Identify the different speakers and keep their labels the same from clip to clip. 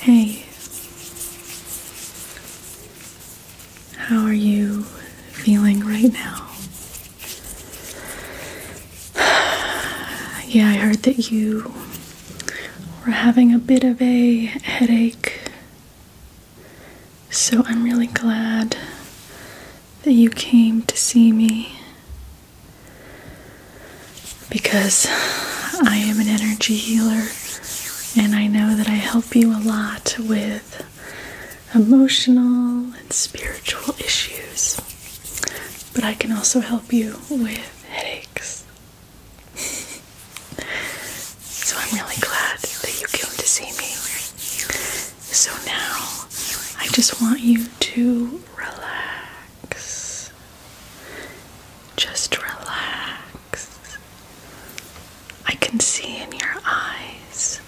Speaker 1: Hey, how are you feeling right now? Yeah, I heard that you were having a bit of a headache, so I'm really glad that you came to see me because I am an energy healer and I know that I help you a lot with emotional and spiritual issues. But I can also help you with headaches. so I'm really glad that you came to see me. So now I just want you to relax. Just relax. I can see in your eyes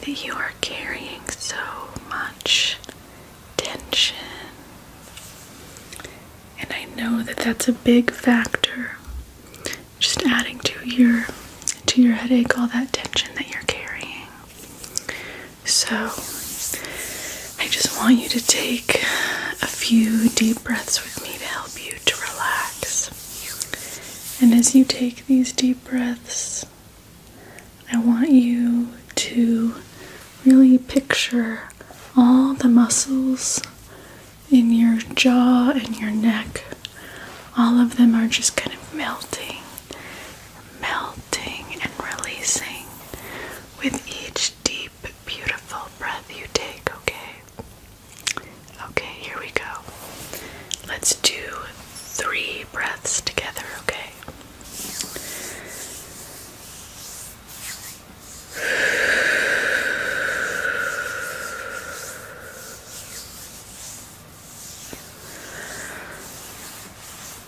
Speaker 1: that you are carrying so much tension. And I know that that's a big factor. Just adding to your to your headache all that tension that you're carrying. So I just want you to take a few deep breaths with me to help you to relax. And as you take these deep breaths, I want you to really picture all the muscles in your jaw and your neck. All of them are just kind of melting, melting, and releasing with each deep, beautiful breath you take, okay? Okay, here we go. Let's do three breaths together, okay?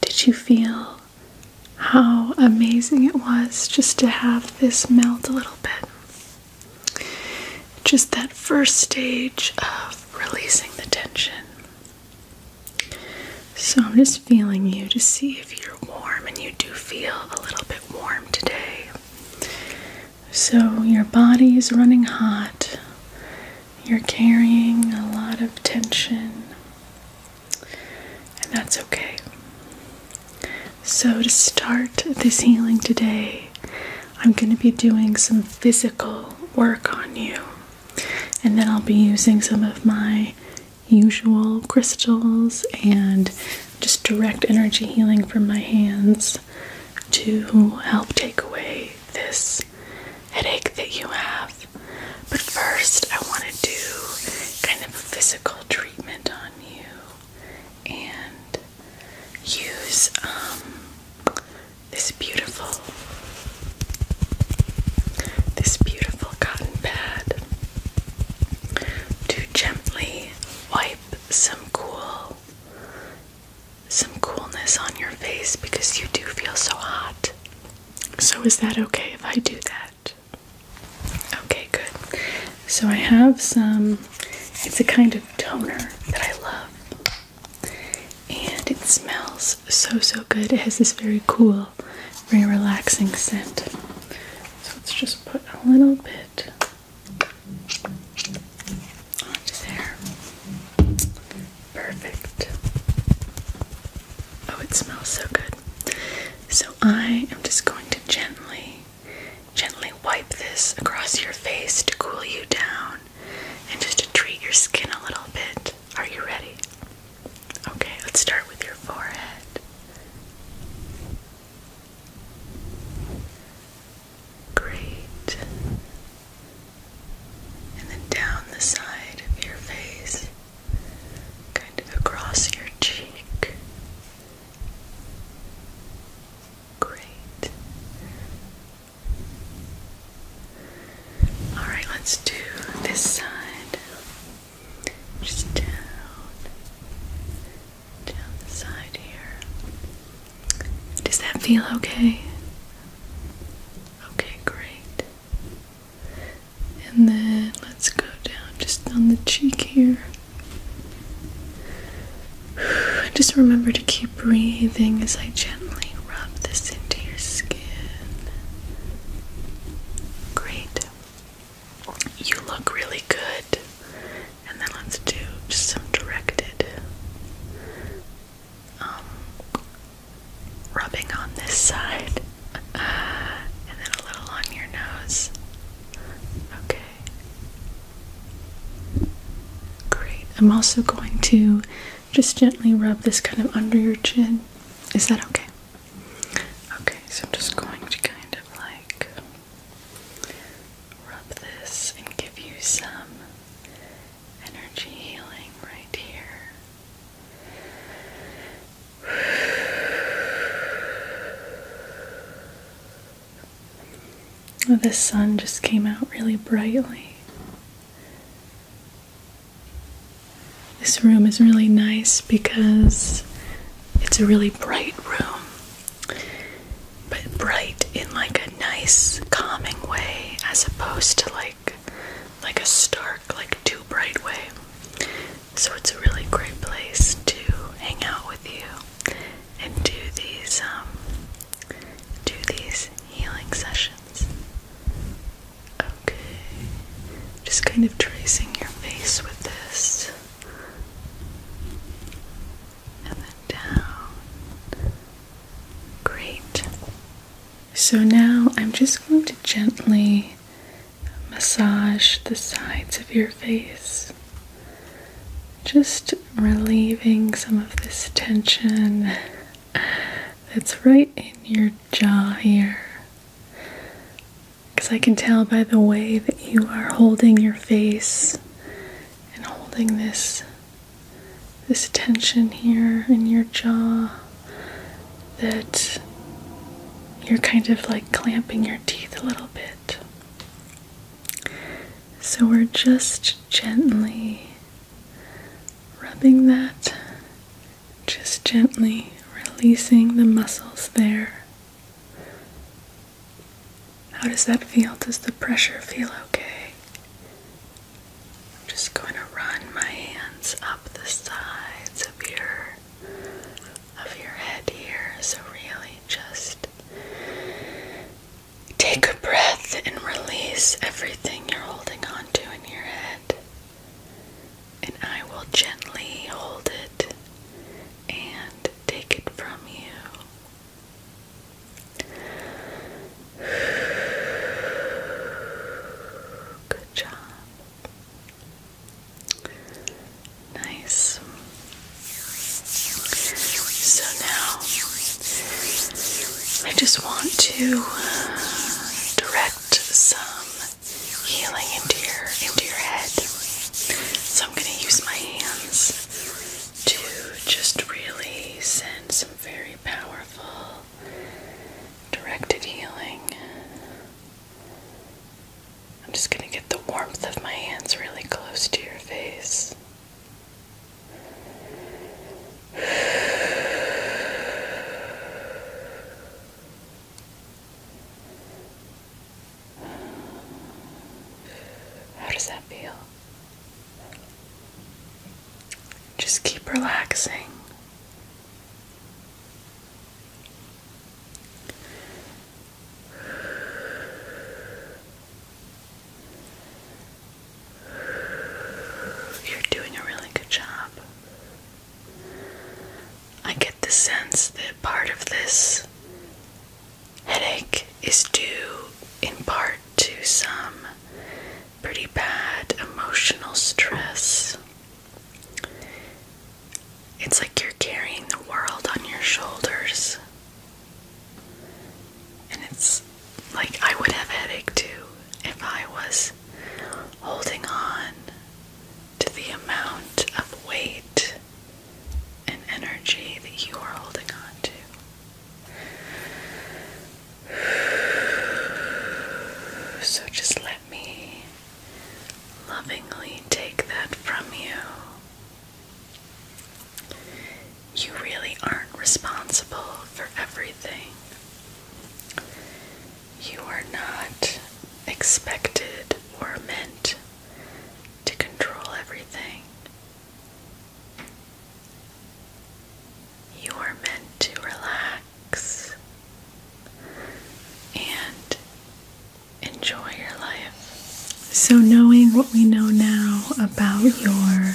Speaker 1: Did you feel how amazing it was just to have this melt a little bit? Just that first stage of releasing the tension. So I'm just feeling you to see if you're warm, and you do feel a little bit warm today. So your body is running hot. You're carrying a lot of tension, and that's okay. So, to start this healing today, I'm going to be doing some physical work on you, and then I'll be using some of my usual crystals and just direct energy healing from my hands to help take away this headache that you have. But first, I want to do kind of a physical treatment on you and use um, this beautiful, this beautiful cotton pad to gently wipe some cool some coolness on your face because you do feel so hot so, is that okay if I do that? Okay, good. So, I have some, it's a kind of toner that I love, and it smells so, so good. It has this very cool, very relaxing scent. So, let's just put a little bit onto there. Perfect. Oh, it smells so good. So I am just going to gently, gently wipe this across your face to cool you down and just to treat your skin a little bit. Are you ready? Okay, let's start with your forehead. Great. And then down the side of your face kind of across your cheek. Great. All right, let's do this side. Just down, down the side here. Does that feel okay? Okay, great. And then let's go down just on the cheek here. Just remember to keep breathing as I gently rub this into your skin. Great. You look really good. And then let's do just some directed um, rubbing on this side and then a little on your nose. Okay. Great. I'm also going to just gently rub this kind of under your chin. Is that okay? Okay, so I'm just going to kind of like rub this and give you some energy healing right here. Oh, the sun just came out really brightly. This room is really nice because it's a really bright room, but bright in like a nice, calming way as opposed to like like a stark, like too bright way. So it's a really great place to hang out with you and do these um do these healing sessions. Okay. Just kind of tracing your face with this. And then down. Great. So now I'm just going to gently massage the sides of your face, just relieving some of this tension that's right in your jaw here. Because I can tell by the way that you are holding your face and holding this this tension here in your jaw that you're kind of like clamping your teeth a little bit. So we're just gently rubbing that, just gently releasing the muscles there. How does that feel? Does the pressure feel okay? I'm just going to run my hands up the sides of your of your head here. So really just take a breath and release everything you're holding on to in your head. And I will gently hold it and take it from you. Good job. Nice. So now I just want to uh, direct some healing into your into your head. So I'm going to use my hands to just really send some very powerful directed healing I'm just going to get the warmth of my hands really close to your face. How does that feel? Just keep relaxing. You're doing a really good job. I get the sense that part of this headache is due in part to some pretty bad emotional stress. It's like you're carrying the world on your shoulders. And it's like I would have a headache too if I was holding on to the amount of weight and energy that you are holding on to. So just let me lovingly take that from you. You really aren't responsible for everything. You are not expected or meant to control everything. You are meant to relax and enjoy your life. So, knowing what we know now about your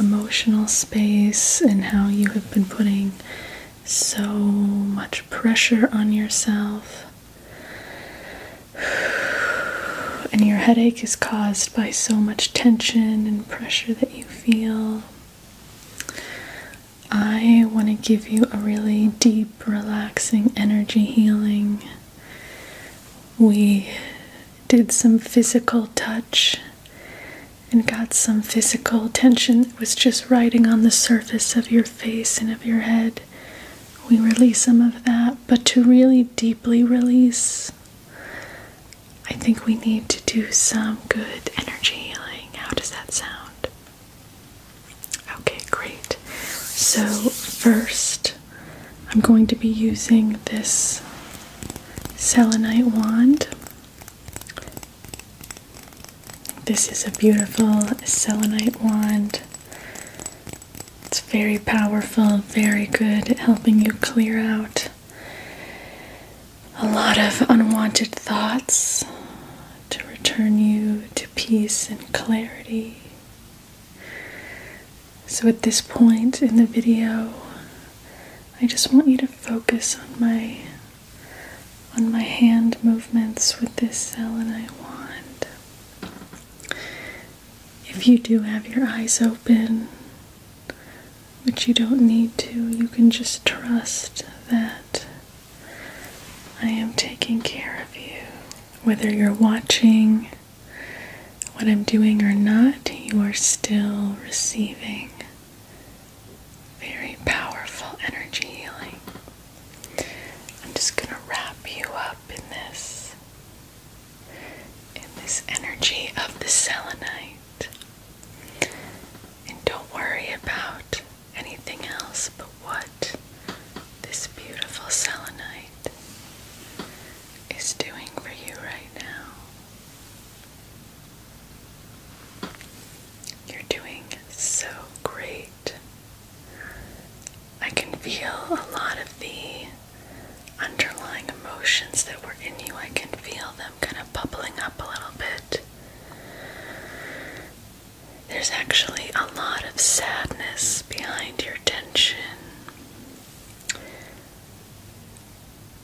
Speaker 1: emotional space and how you have been putting so much pressure on yourself. And your headache is caused by so much tension and pressure that you feel. I want to give you a really deep, relaxing energy healing. We did some physical touch and got some physical tension that was just riding on the surface of your face and of your head. We release some of that, but to really deeply release, I think we need to do some good energy healing. How does that sound? Okay, great. So, first, I'm going to be using this selenite wand. This is a beautiful selenite wand. It's very powerful, very good at helping you clear out a lot of unwanted thoughts to return you to peace and clarity. So, at this point in the video, I just want you to focus on my on my hand movements with this selenite wand. If you do have your eyes open, which you don't need to, you can just trust that I am taking care of you. Whether you're watching what I'm doing or not, you are still receiving very powerful energy healing. I'm just going to wrap you up in this in this energy of the selenite. And don't worry about anything else but what this beautiful selenite is doing for you right now. You're doing so great. I can feel a lot of the underlying emotions that were in you. I can feel them kind of bubbling up a little bit. There's actually a lot of sadness behind your tension.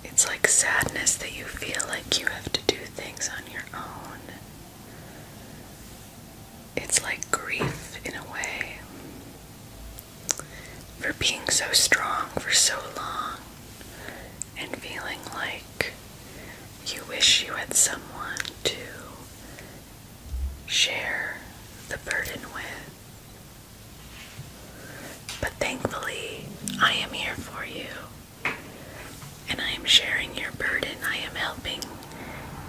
Speaker 1: It's like sadness that you feel like you have to do things on your own. It's like grief in a way for being so strong for so long and feeling like you wish you had someone to share the burden with. But thankfully, I am here for you. And I am sharing your burden. I am helping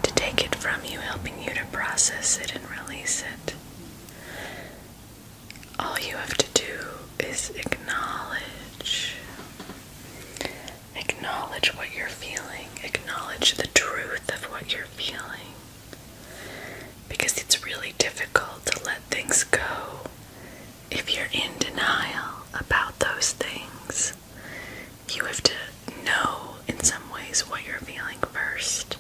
Speaker 1: to take it from you, helping you to process it and release it. All you have to do is acknowledge Acknowledge what you're feeling. Acknowledge the truth of what you're feeling. Because it's really difficult to let things go if you're in denial about those things. You have to know, in some ways, what you're feeling first.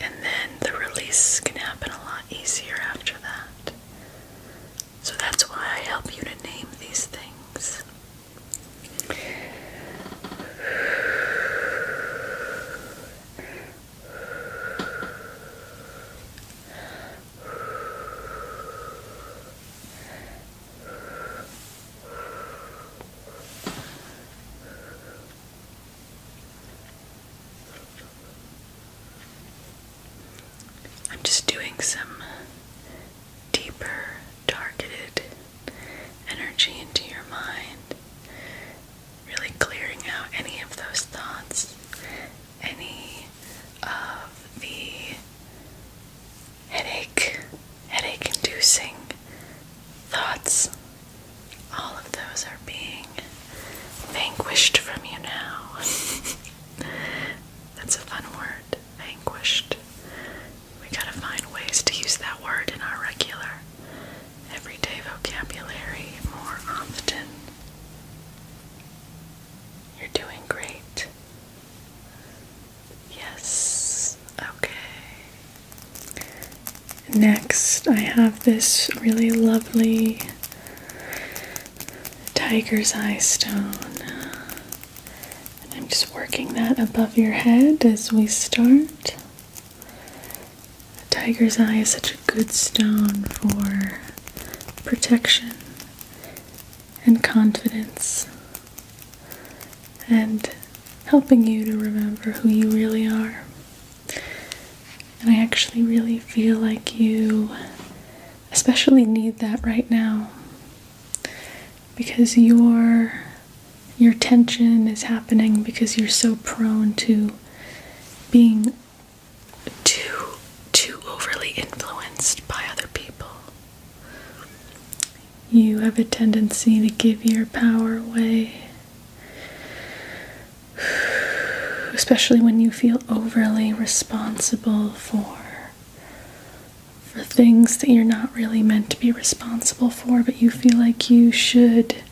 Speaker 1: And then the release can happen a lot easier after that. So that's why I help you to name these things. I'm just doing some deeper, targeted energy into your mind, really clearing out any of those thoughts, any of the headache, headache inducing thoughts. All of those are being vanquished from you now. That's a fun word, anguished. We gotta find ways to use that word in our regular, everyday vocabulary more often. You're doing great. Yes, okay. Next, I have this really lovely tiger's eye stone. And I'm just working that above your head as we start. tiger's eye is such a good stone for protection and confidence and helping you to remember who you really are. And I actually really feel like you especially need that right now because your your tension is happening because you're so prone to being too too overly influenced by other people. You have a tendency to give your power away. Especially when you feel overly responsible for for things that you're not really meant to be responsible for, but you feel like you should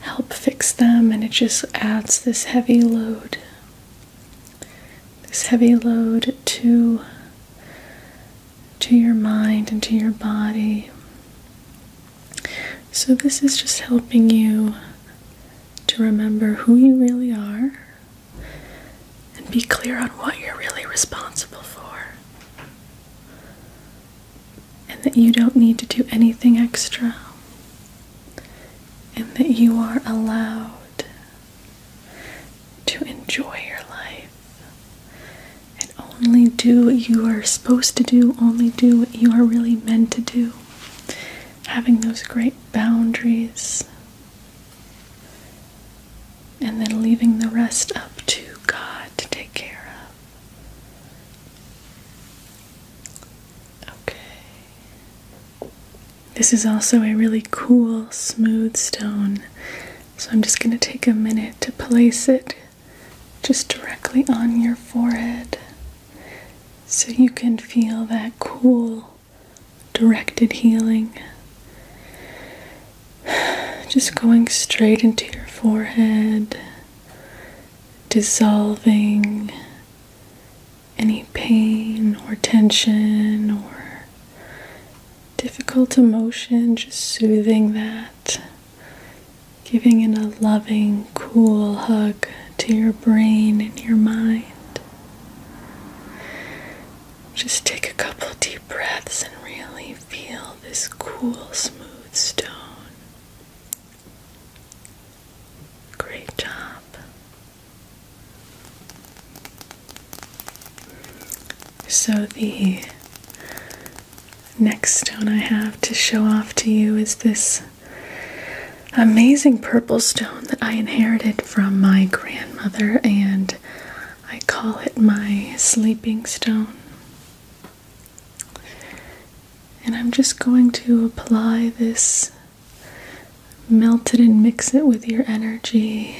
Speaker 1: help fix them, and it just adds this heavy load. This heavy load to to your mind and to your body. So this is just helping you to remember who you really are and be clear on what you're really responsible for. And that you don't need to do anything extra. And that you are allowed to enjoy your life and only do what you are supposed to do, only do what you are really meant to do. Having those great boundaries and then leaving the rest up to God to take care of. Okay. This is also a really cool, smooth stone, so I'm just going to take a minute to place it just directly on your forehead so you can feel that cool directed healing. Just going straight into your forehead, dissolving any pain or tension or difficult emotion, just soothing that, giving it a loving, cool hug to your brain and your mind. Just take a couple deep breaths and really feel this cool, smooth stone. Great job. So, the next stone I have to show off to you is this amazing purple stone that I inherited from my grandmother, and I call it my sleeping stone. And I'm just going to apply this, melt it and mix it with your energy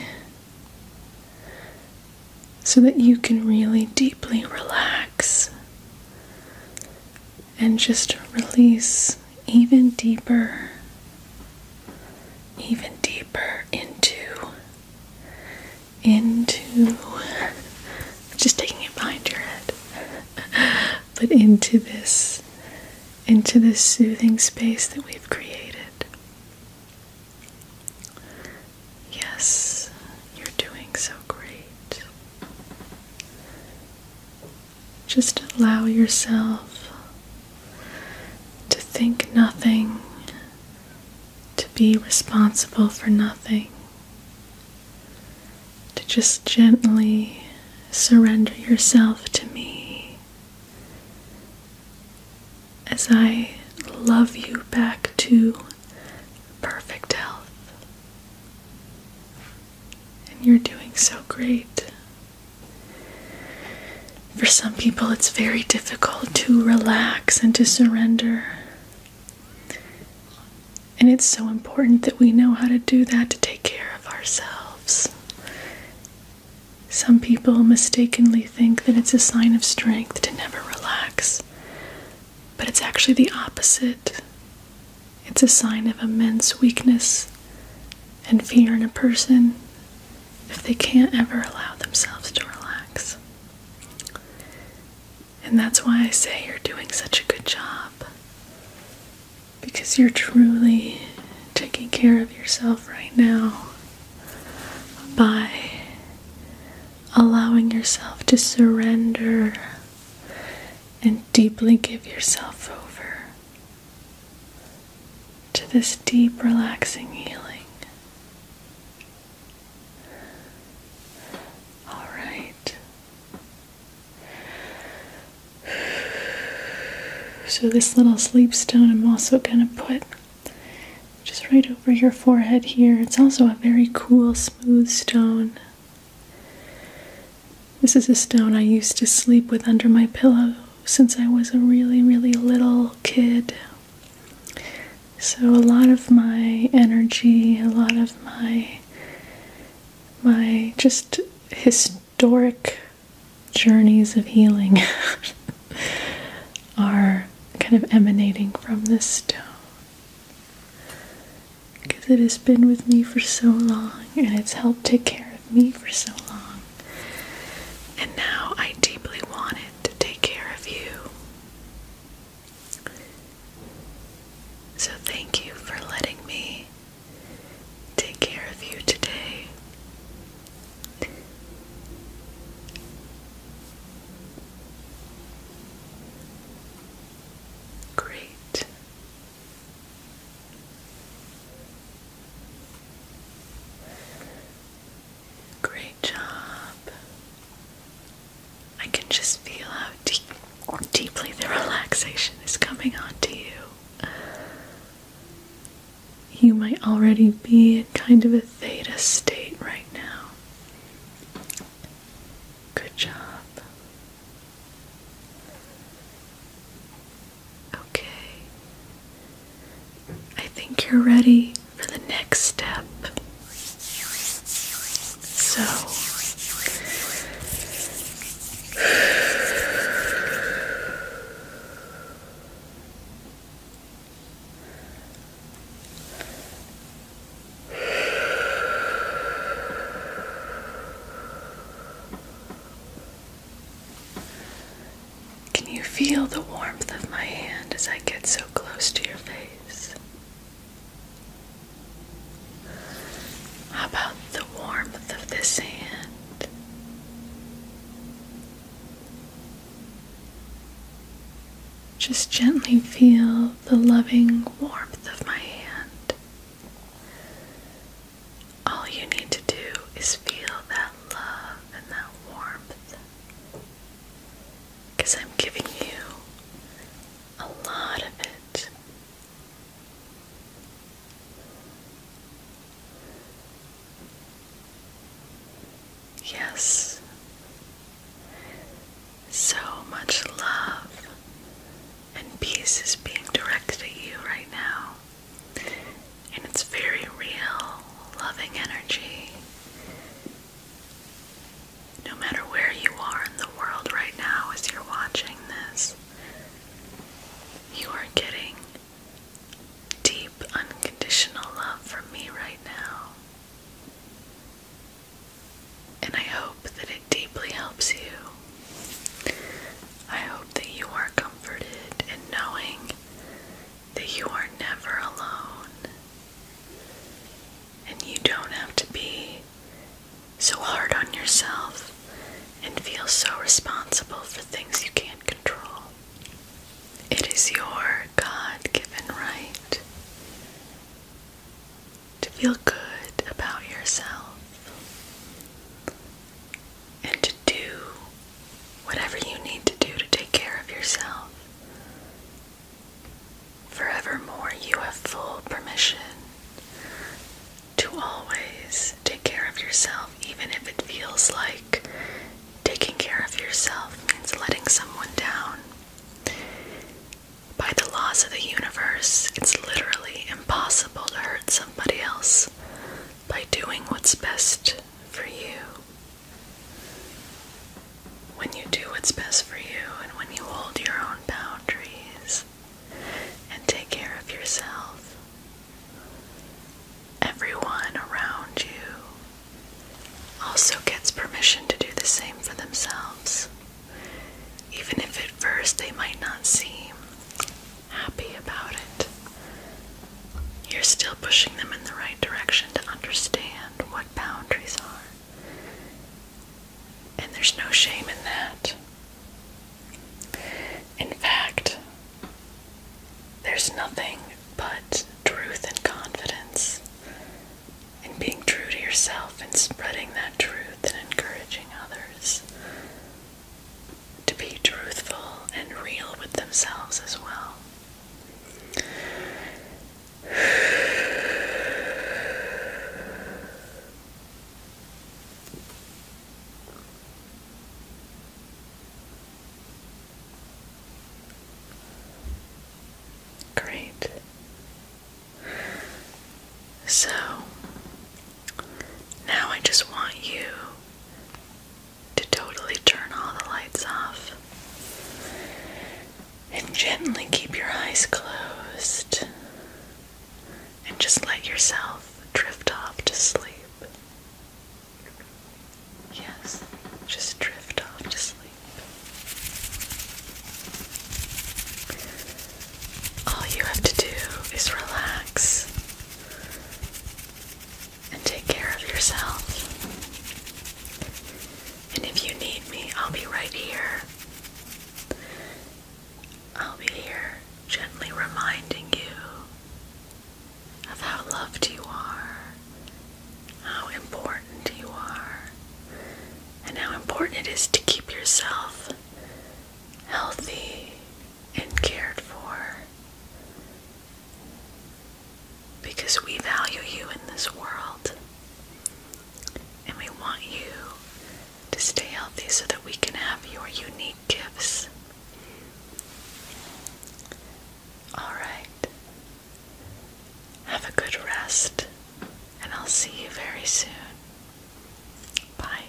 Speaker 1: so that you can really deeply relax and just release even deeper, even deeper into, into, just taking it behind your head, but into this, into this soothing space that we've created. Yes, you're doing so great. Just allow yourself to think nothing, to be responsible for nothing, to just gently surrender yourself to me as I love you back to perfect health. And you're doing so great. For some people, it's very difficult to relax and to surrender. And it's so important that we know how to do that to take care of ourselves. Some people mistakenly think that it's a sign of strength to never relax, but it's actually the opposite. It's a sign of immense weakness and fear in a person if they can't ever allow themselves to relax. And that's why I say you're doing such a good job. Because you're truly taking care of yourself right now by allowing yourself to surrender and deeply give yourself over to this deep, relaxing healing. All right. So, this little sleep stone I'm also going to put just right over your forehead here. It's also a very cool, smooth stone. This is a stone I used to sleep with under my pillow since I was a really, really little kid. So a lot of my energy, a lot of my my just historic journeys of healing are kind of emanating from this stone. Because it has been with me for so long and it's helped take care of me for so long. And now I deeply want it to take care of you. So thank you for letting me take care of you today. Great. Great job. I can just feel how deep, deeply the relaxation is coming onto you. You might already be in kind of a theta state right now. Good job. Okay. I think you're ready for the next step. So, can you feel the warmth of my hand as I get so close to your face? How about the warmth of this hand? Just gently feel the loving warmth of my hand all you need to do is feel that love and that warmth. Because I'm giving you a lot of it. Yes, so much love and peace is being directed at you right now and it's very real, loving energy. No matter where you are in the world right now as you're watching this, you are getting deep, unconditional love from me right now. And I hope that it deeply helps you. I hope that you are comforted in knowing that you are never alone and you don't have to be so hard on yourself and feel so responsible for things you can't control. It is your God given right to feel good about yourself and to do whatever you need to do to take care of yourself. Forevermore, you have full permission to always take care of yourself, even if it feels like taking care of yourself means letting someone down. By the laws of the universe, it's literally impossible to hurt somebody else by doing what's best for you. When you do what's best for you and when you hold your own boundaries and take care of yourself, everyone around you also gets permission to do the same for themselves, even if at first they might not seem happy about it. You're still pushing them in the right direction to understand what boundaries are. And there's no shame in that. In fact, there's nothing but truth and confidence in being true to yourself and spreading that truth and encouraging others to be truthful and real with themselves as well. Great. So now I just want you to totally turn all the lights off. And gently keep your eyes closed and just let yourself drift off to sleep. Yes, just drift off to sleep. All you have to do is relax and take care of yourself. And if you need me, I'll be right here. I'll be here gently reminding you of how loved you are, how important you are, and how important it is to keep yourself healthy and cared for. Because we value you in this world. And we want you to stay healthy so that we can have your unique gifts. Alright. Have a good rest, and I'll see you very soon. Bye.